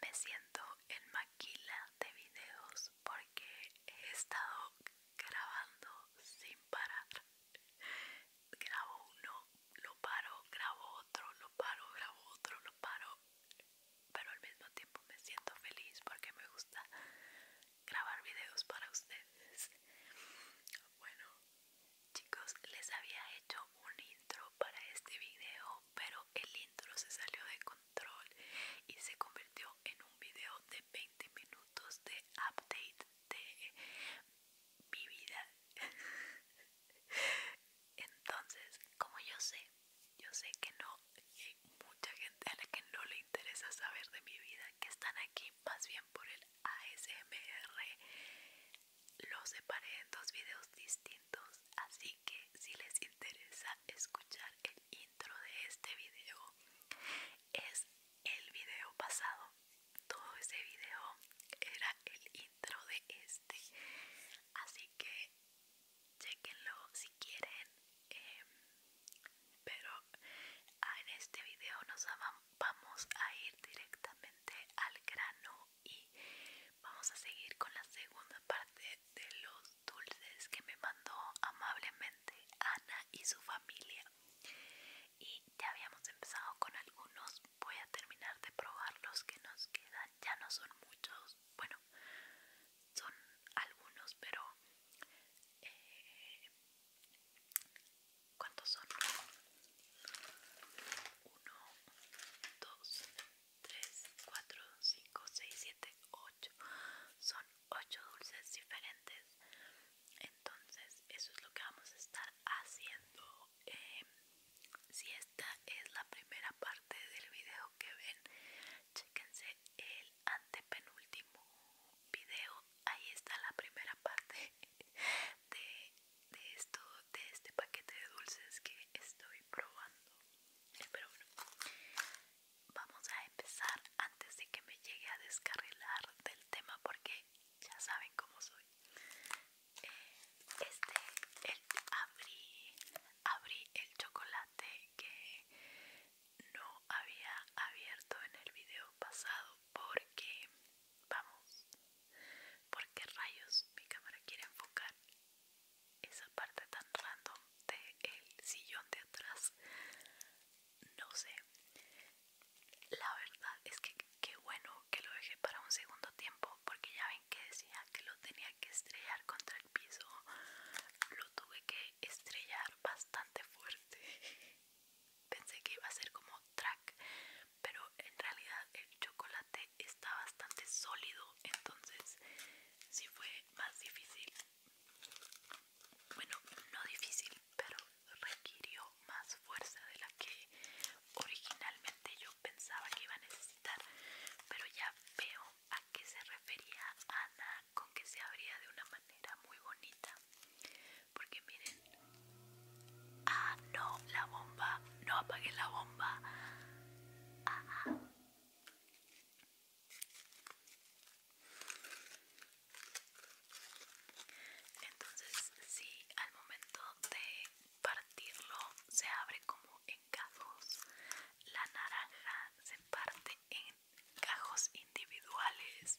Me siento en maquila de videos porque he estado grabando sin parar. Grabo uno, lo paro, grabo otro, lo paro, grabo otro, lo paro. Pero al mismo tiempo me siento feliz porque me gusta grabar videos para ustedes. Bueno, Chicos, les había hecho un intro para este video, pero el intro se salió de control y se convirtió en un video de 20 minutos de update de mi vida. Entonces, como yo sé, yo sé que no hay mucha gente a la que no le interesa saber de mi vida, que están aquí más bien por el ASMR lo separé en dos videos distintos, así que si les interesa escuchar el intro de este video, es el video pasado. Todo ese video era el intro de este. Así que chequenlo si quieren. Em, pero en este video nos vamos a ir directamente al grano y vamos a seguir con la segunda parte de los dulces que me mandó amablemente Ana y su familia y ya habíamos empezado con algunos voy a terminar de probar los que nos quedan ya no son muchos bueno son algunos pero eh, ¿Cuántos son? 1, 2, 3, 4, 5, 6, 7, 8. Son 8 dulces diferentes. Entonces, eso es lo que vamos a estar haciendo. Eh, si esta es la primera parte del video que ven, chéquense el antepenúltimo video. Ahí está la primera parte de esto de este paquete de dulces que estoy probando pero bueno vamos a empezar antes de que me llegue a descarrilar del tema porque ya saben cómo soy eh, este abrí abrí el chocolate que no había abierto en el video pasado porque vamos ¿Por qué rayos mi cámara quiere enfocar esa parte tan random del el sillón de atrás no sé la verdad es que qué bueno que lo dejé para un segundo tiempo porque ya ven que decía que lo tenía que estrellar contra el piso lo tuve que estrellar bastante fuerte pensé que iba a ser como track pero en realidad el chocolate está bastante sólido entonces sí fue más difícil bueno no difícil pero requirió más fuerza de la que originalmente yo pensaba que iba a necesitar pero ya veo a qué se refería Ana con que se abría de una manera muy bonita porque miren Ah, no, la bomba. No apague la bomba. Entonces, si sí, al momento de partirlo se abre como en cajos, la naranja se parte en cajos individuales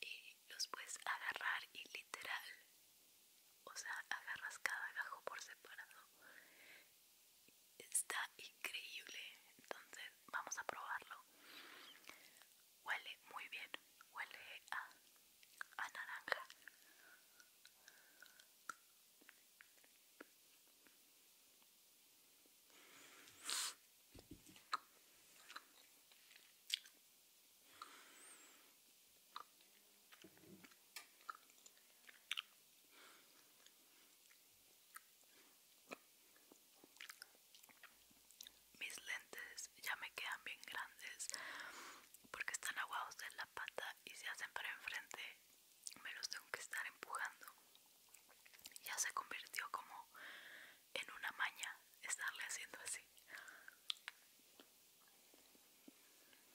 y los puedes agarrar y literal o sea agarras cada gajo por separado está increíble entonces vamos a probarlo huele muy bien huele a, a naranja mis lentes ya me quedan bien grandes porque están aguados en la pata y se hacen para enfrente. Me los tengo que estar empujando. Ya se convirtió como en una maña estarle haciendo así.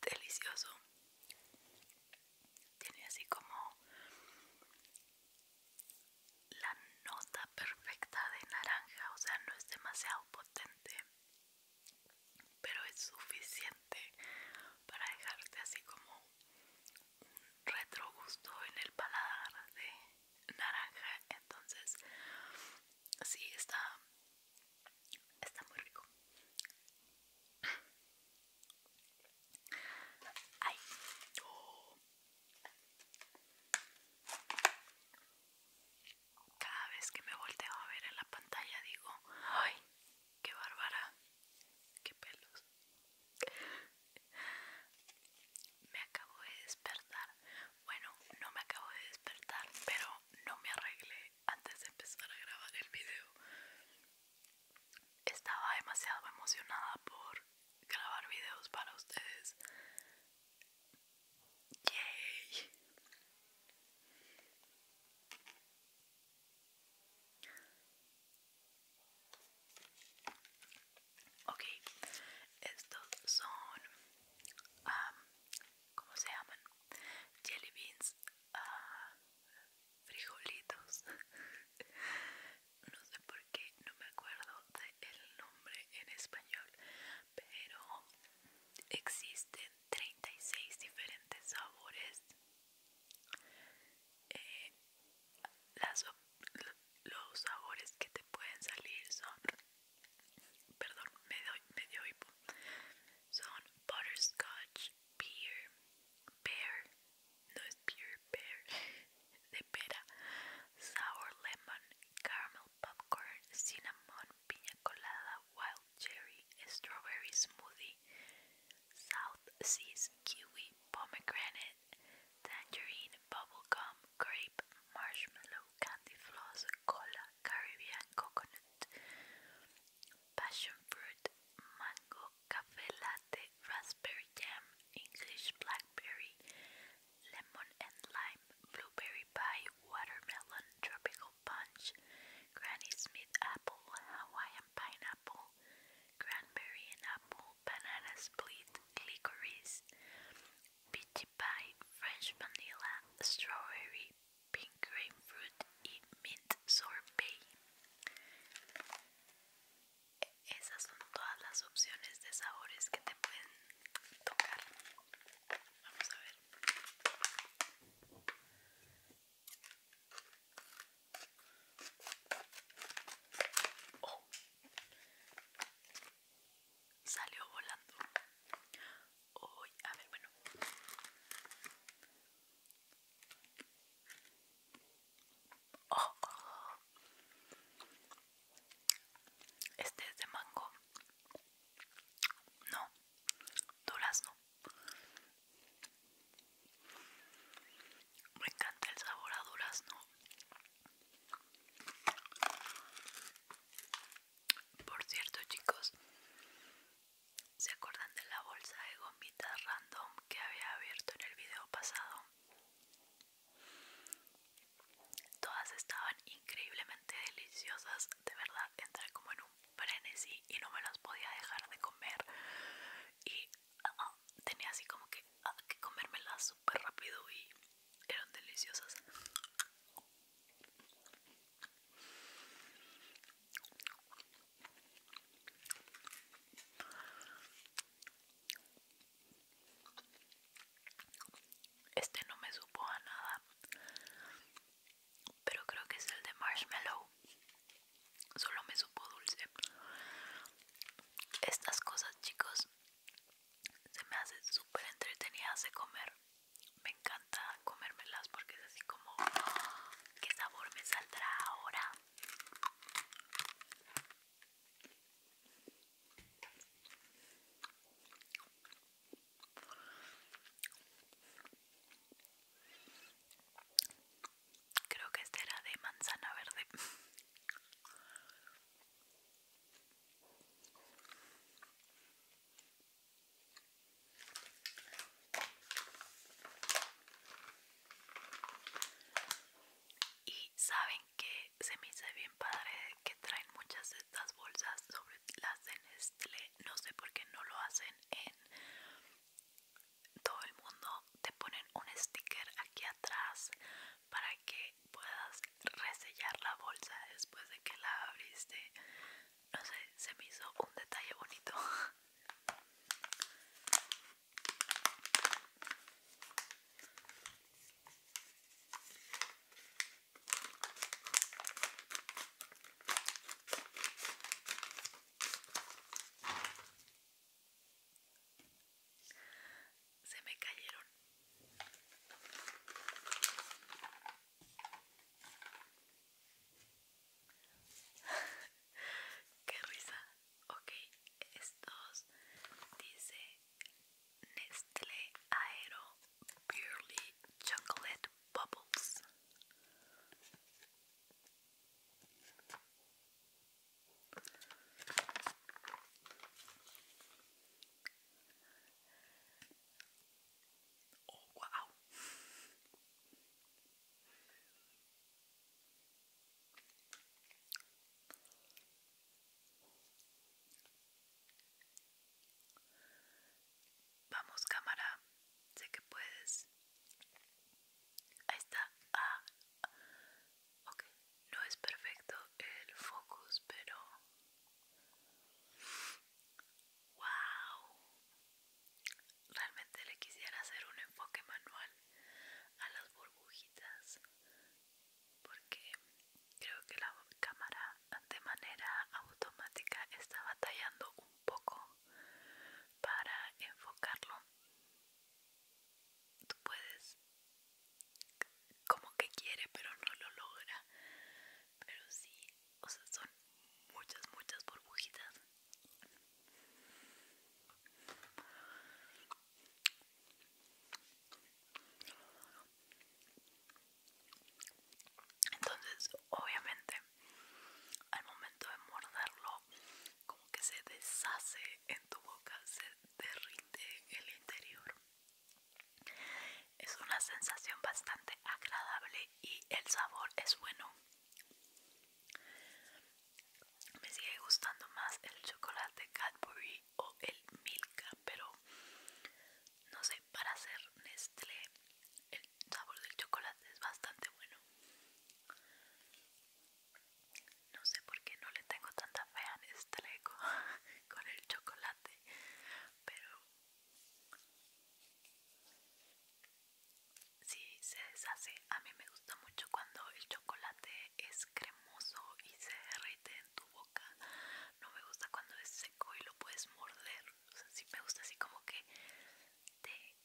delicioso tiene así como la nota perfecta de naranja o sea no es demasiado potente pero es suficiente para dejarte así como un retrogusto en el paladar de naranja entonces sí está Está muy rico. Ay. Cada vez que me volteo a ver en la pantalla digo, ay, qué bárbara, qué pelos. Me acabo de despertar. Bueno, no me acabo de despertar, pero no me arreglé antes de empezar a grabar el video estaba demasiado emocionada por grabar videos para ustedes. Yay. Ok, estos son, como ¿cómo se llaman? Jelly beans Ah, frijolitos. No sé por qué, no me acuerdo del nombre en español, pero existen 36 diferentes sabores. Eh, los sabores que te pueden salir son, perdón, me, doy, me dio hipo, son butterscotch, pear, pear, no es pear, pear, de pera, sour lemon, caramel popcorn, cinnamon, piña colada, wild cherry, strawberry smoothie, south seas, kiwi, pomegranate, tangerine, bubblegum, grape, marshmallow, candy floss, cola, Caribbean, coconut, passion fruit, mango, cafe latte, raspberry jam, English blackberry, lemon and lime, blueberry pie, watermelon, tropical punch, Granny Smith apple, Hawaiian pineapple, cranberry and apple, banana split, licorice, peachy pie, French vanilla, strawberry, pink grapefruit y mint sorbet. E-, esas son todas las opciones de sabores que te pueden tocar. Vamos a ver. Oh. Salió volando. a ver, bueno. Oh. Este es de mango. No, durazno. Me encanta el sabor a durazno. Por cierto, chicos, ¿Se acuerdan de la bolsa de gomitas random que había abierto en el video pasado? Todas estaban increíblemente deliciosas, de verdad entré como en un frenesí y no me las podía dejar de comer y ah, ah, tenía así como que, ah, que comérmelas súper rápido y eran deliciosas. Este no me supo a nada, pero creo que es el de marshmallow. Solo me supo dulce. Estas cosas, chicos, se me hacen súper entretenidas de comer. Me encanta comérmelas porque es así como qué sabor me saldrá ahora Creo que este era de manzana verde. Y saben que se me hizo bien padre que traen muchas de estas bolsas sobre las de Nestlé. No sé por qué no lo hacen en todo el mundo. Te ponen un sticker aquí atrás para que puedas resellar la bolsa después de que la abriste no sé, se me hizo un detalle bonito. Se me cayeron. Qué risa. Ok, estos dice Nestlé Aero Purely Chocolate Bubbles. Oh wow. Vamos cámara, sé que puedes. Ahí está. Ah, ok, no es perfecto el focus, pero... ¡Wow! Realmente le quisiera hacer un enfoque manual a las burbujitas porque creo que la cámara de manera automática está batallando un poco para enfocarlo. Tú puedes como que quiere pero no lo logra. Pero sí, o sea, son muchas, muchas burbujitas. Entonces, obviamente, al momento de morderlo, como que se deshace en tu boca, se derrite el interior. Es una sensación bastante agradable y el sabor es bueno. Me sigue gustando más el chocolate Cadbury o el Milka, pero no sé, para hacer Nestlé el sabor del chocolate es bastante bueno. No sé por qué no le tengo tanta fe a Nestlé con, con el chocolate, pero sí se deshace. A mí me gusta mucho cuando el chocolate es cremoso y se derrite en tu boca. No me gusta cuando es seco y lo puedes morder. O sea, sí me gusta así como que te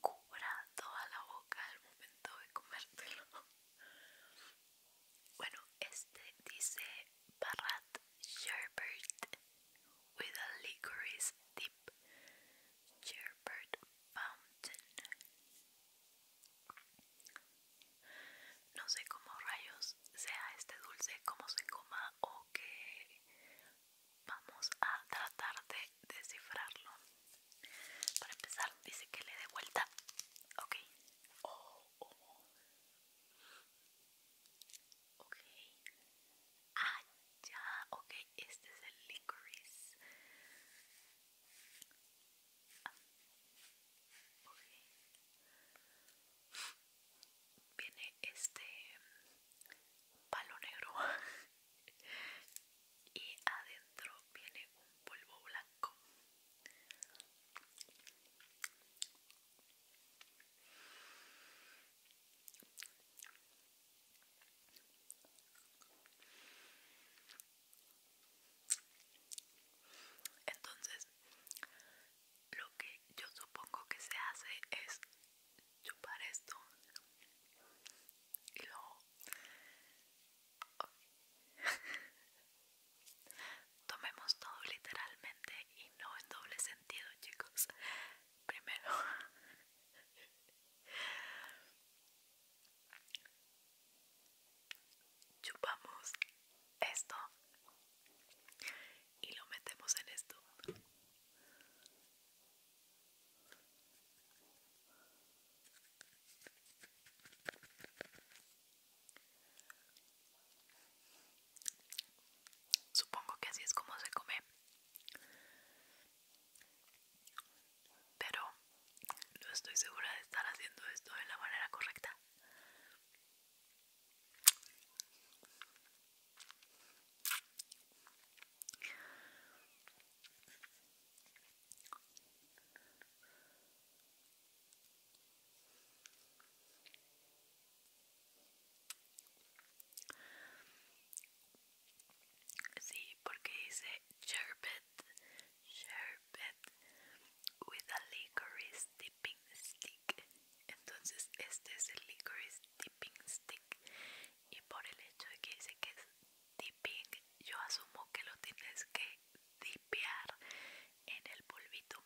cubra toda la boca al momento de comértelo. Bueno, este dice Barrat Sherbert with a licorice dip. Sherbert Fountain. No sé cómo rayos sea este dulce, cómo se coma o qué. Vamos a tratar de descifrarlo. Para empezar, dice que le dé vuelta. Ok. Oh, oh. Ok. Ah, ya, ok, este es el licorice. Viene este mm, palo negro y adentro viene un polvo blanco. Entonces, lo que yo supongo que se hace es chupar esto y luego tomemos todo literalmente y no en doble sentido, chicos. Primero Chupamos esto y lo metemos en esto. Supongo que así es como se come pero no estoy segura de estar haciendo esto de la manera correcta. Sí, porque dice sherbet, sherbet with a licorice dipping stick. Entonces este es el licorice dipping stick. Y por el hecho de que dice que es dipping, yo asumo que lo tienes que dipear en el polvito.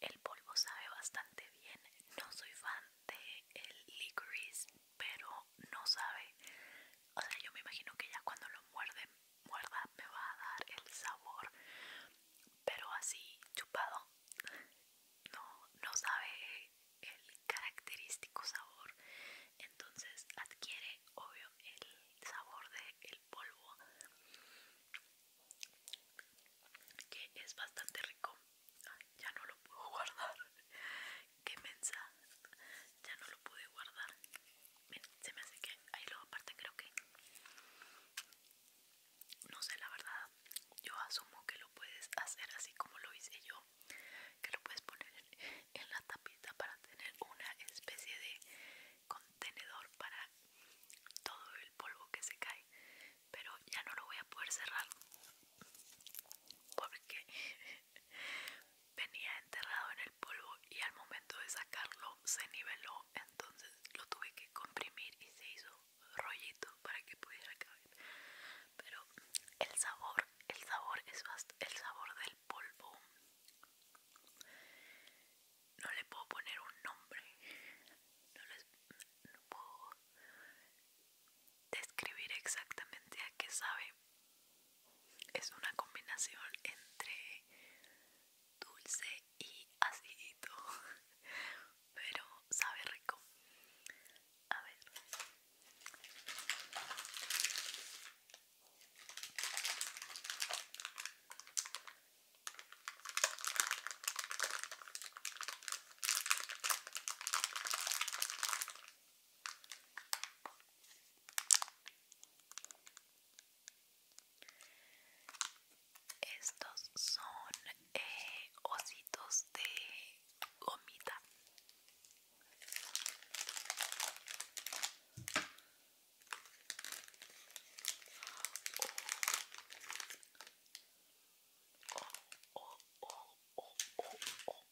El polvo sabe bastante bien. No soy fan de el licorice pero no sabe. O sea, yo me imagino que ya cuando lo muerde, muerda, me va a dar el sabor, pero así chupado, no, no sabe el característico sabor. Entonces adquiere, obvio, el sabor del polvo, que es bastante rico ya no lo puedo guardar. Qué mensa Ya no lo pude guardar. se me hace que ahí lo aparte creo que... No sé la verdad. Yo asumo que lo puedes hacer así como lo hice yo. Que lo puedes poner en la tapita para tener una especie de contenedor para todo el polvo que se cae. Pero ya no lo voy a poder cerrar. Porque venía enterrado en el polvo y al momento de sacarlo se niveló entonces lo tuve que comprimir y se hizo rollito para que pudiera caber pero el sabor el sabor es el sabor del polvo no le puedo poner un nombre no les puedo describir exactamente a qué sabe. Es una combinación entre dulce y acidito, pero sabe rico. A ver. Estos son eh, ositos de gomita. Oh, oh, oh,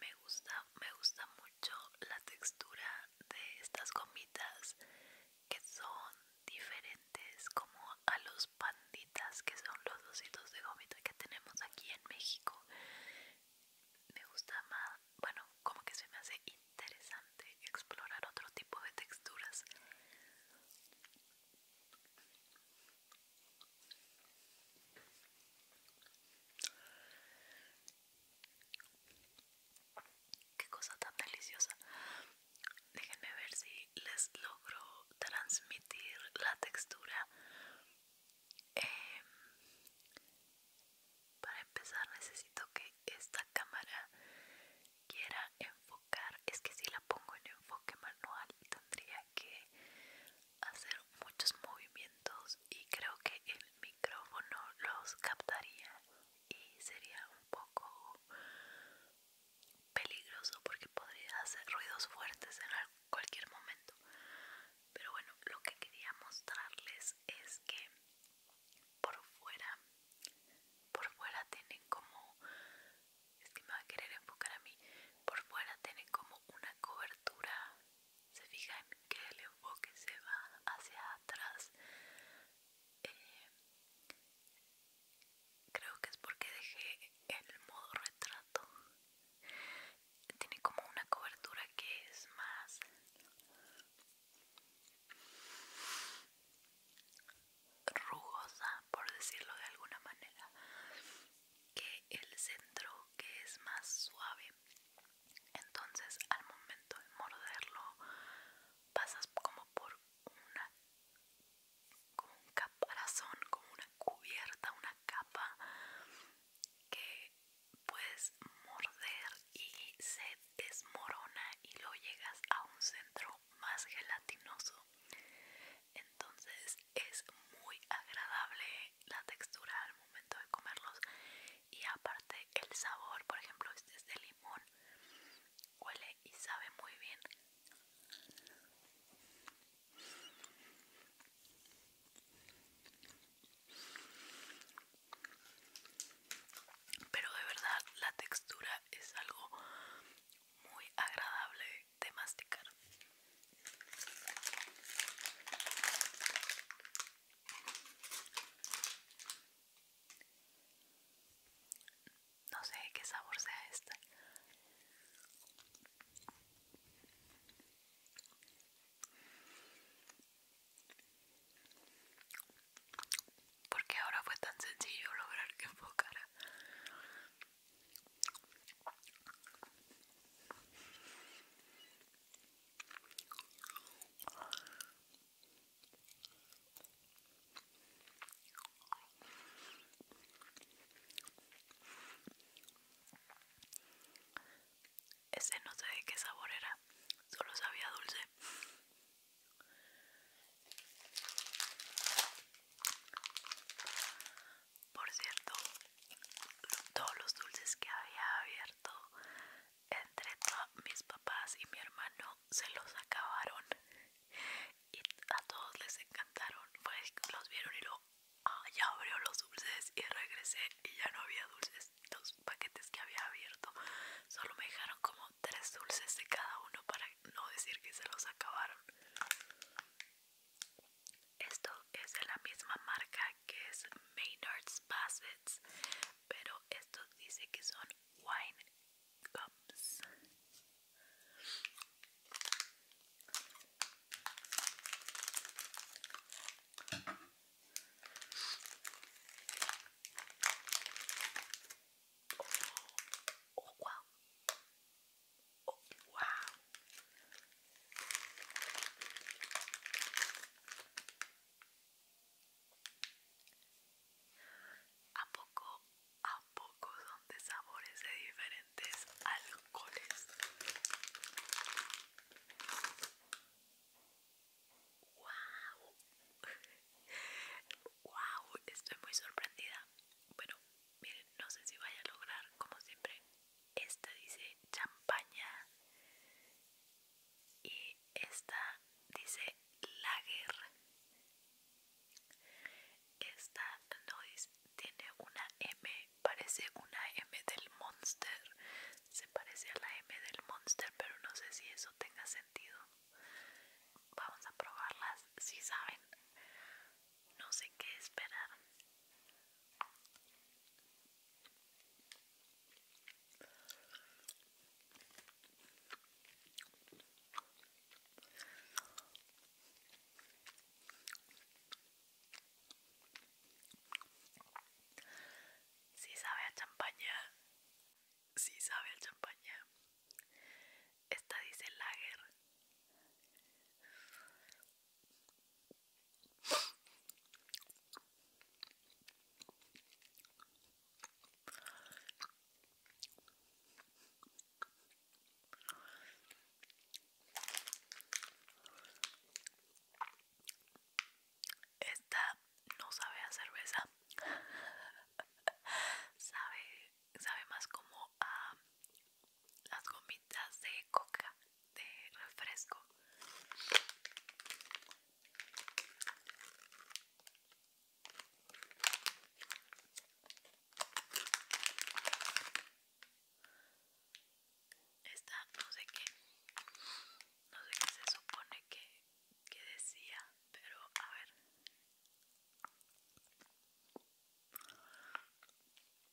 me gusta me gusta mucho la textura de estas gomitas que son diferentes como a los panditas que son los ositos de gomita que tenemos aquí en México me gusta más bueno como que se me hace interesante explorar otro tipo de texturas Qué cosa tan deliciosa. Déjenme ver si les logro transmitir la textura. Em, para empezar necesito que esta cámara quiera enfocar. Es que si la pongo en enfoque manual tendría que hacer muchos movimientos y creo que el micrófono los captaría y sería un poco peligroso porque podría hacer ruidos fuertes en cualquier momento pero bueno lo que quería mostrarles es que por fuera por fuera tienen como es va a querer enfocar a mí. Por fuera tiene como una cobertura. Se fijan que el enfoque se va hacia atrás. Eh, creo que es porque dejé el modo retrato. Tiene como una cobertura que es más... rugosa, por decirlo de alguna manera que el centro que es más suave entonces al momento de morderlo pasas como por una como un caparazón como una cubierta una capa que puedes morder y se desmorona y lo llegas a un centro más gelatinoso entonces es muy agradable la textura al momento de comerlos y aparte el sabor por ejemplo este es de limón huele y sabe muy bien pero de verdad la textura es algo muy agradable de masticar. No sé qué sabor sea este. Porque ahora fue tan sencillo lograr que enfocara ese no sé de qué sabor era, solo sabía dulce. Por cierto, todos los dulces que había abierto entre mis papás y mi hermano se los acabaron y a todos les encantaron. Pues los vieron y lo ah, ya abrió los dulces y regresé y ya no había dulces. Los paquetes que había abierto solo me dejaron como tres dulces de cada uno para no decir que se los acabaron. Esto es de la misma marca que es Maynard's Bassets, pero esto dice que son wine cups. Oh, oh, wow. Oh, wow. ¿A poco, a poco son de sabores de diferentes alcoholes? ¡Wow! ¡Wow! Estoy muy sorprendida. Bueno, miren, no sé si vaya a lograr, como siempre, esta dice champaña y esta dice lager esta noise tiene una M parece una M del monster se parece a la M del monster pero no sé si eso tenga sentido vamos a probarlas si saben no sé qué esperar si sabe a champaña, si sabe a champaña. Esta dice lager. Esta no sabe a cerveza. sabe, sabe más como a las gomitas de coca de refresco esta no sé qué no sé qué se supone que, que decía pero a ver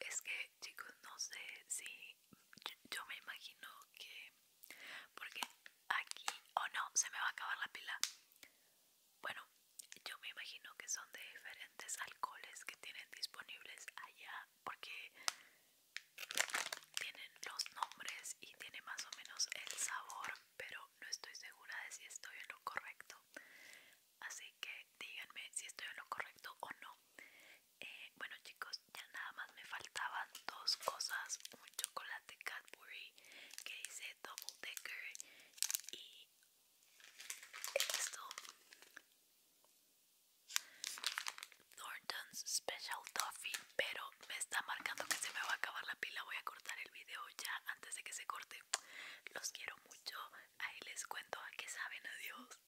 es que chicos no sé si yo, me imagino que porque aquí o oh, no se me va a acabar la pila bueno yo me imagino que son de diferentes alcoholes que tienen disponibles allá porque tienen los nombres y tiene más o menos el sabor pero no estoy segura de si estoy en lo correcto así que díganme si estoy en lo correcto o no eh, bueno chicos ya nada más me faltaban dos cosas un chocolate Cadbury que dice double decker y esto Thornton's Special Toffee pero me está marcando que se me va a acabar la pila voy a cortar el video ya antes de que se corte los quiero mucho ahí les cuento a qué saben adiós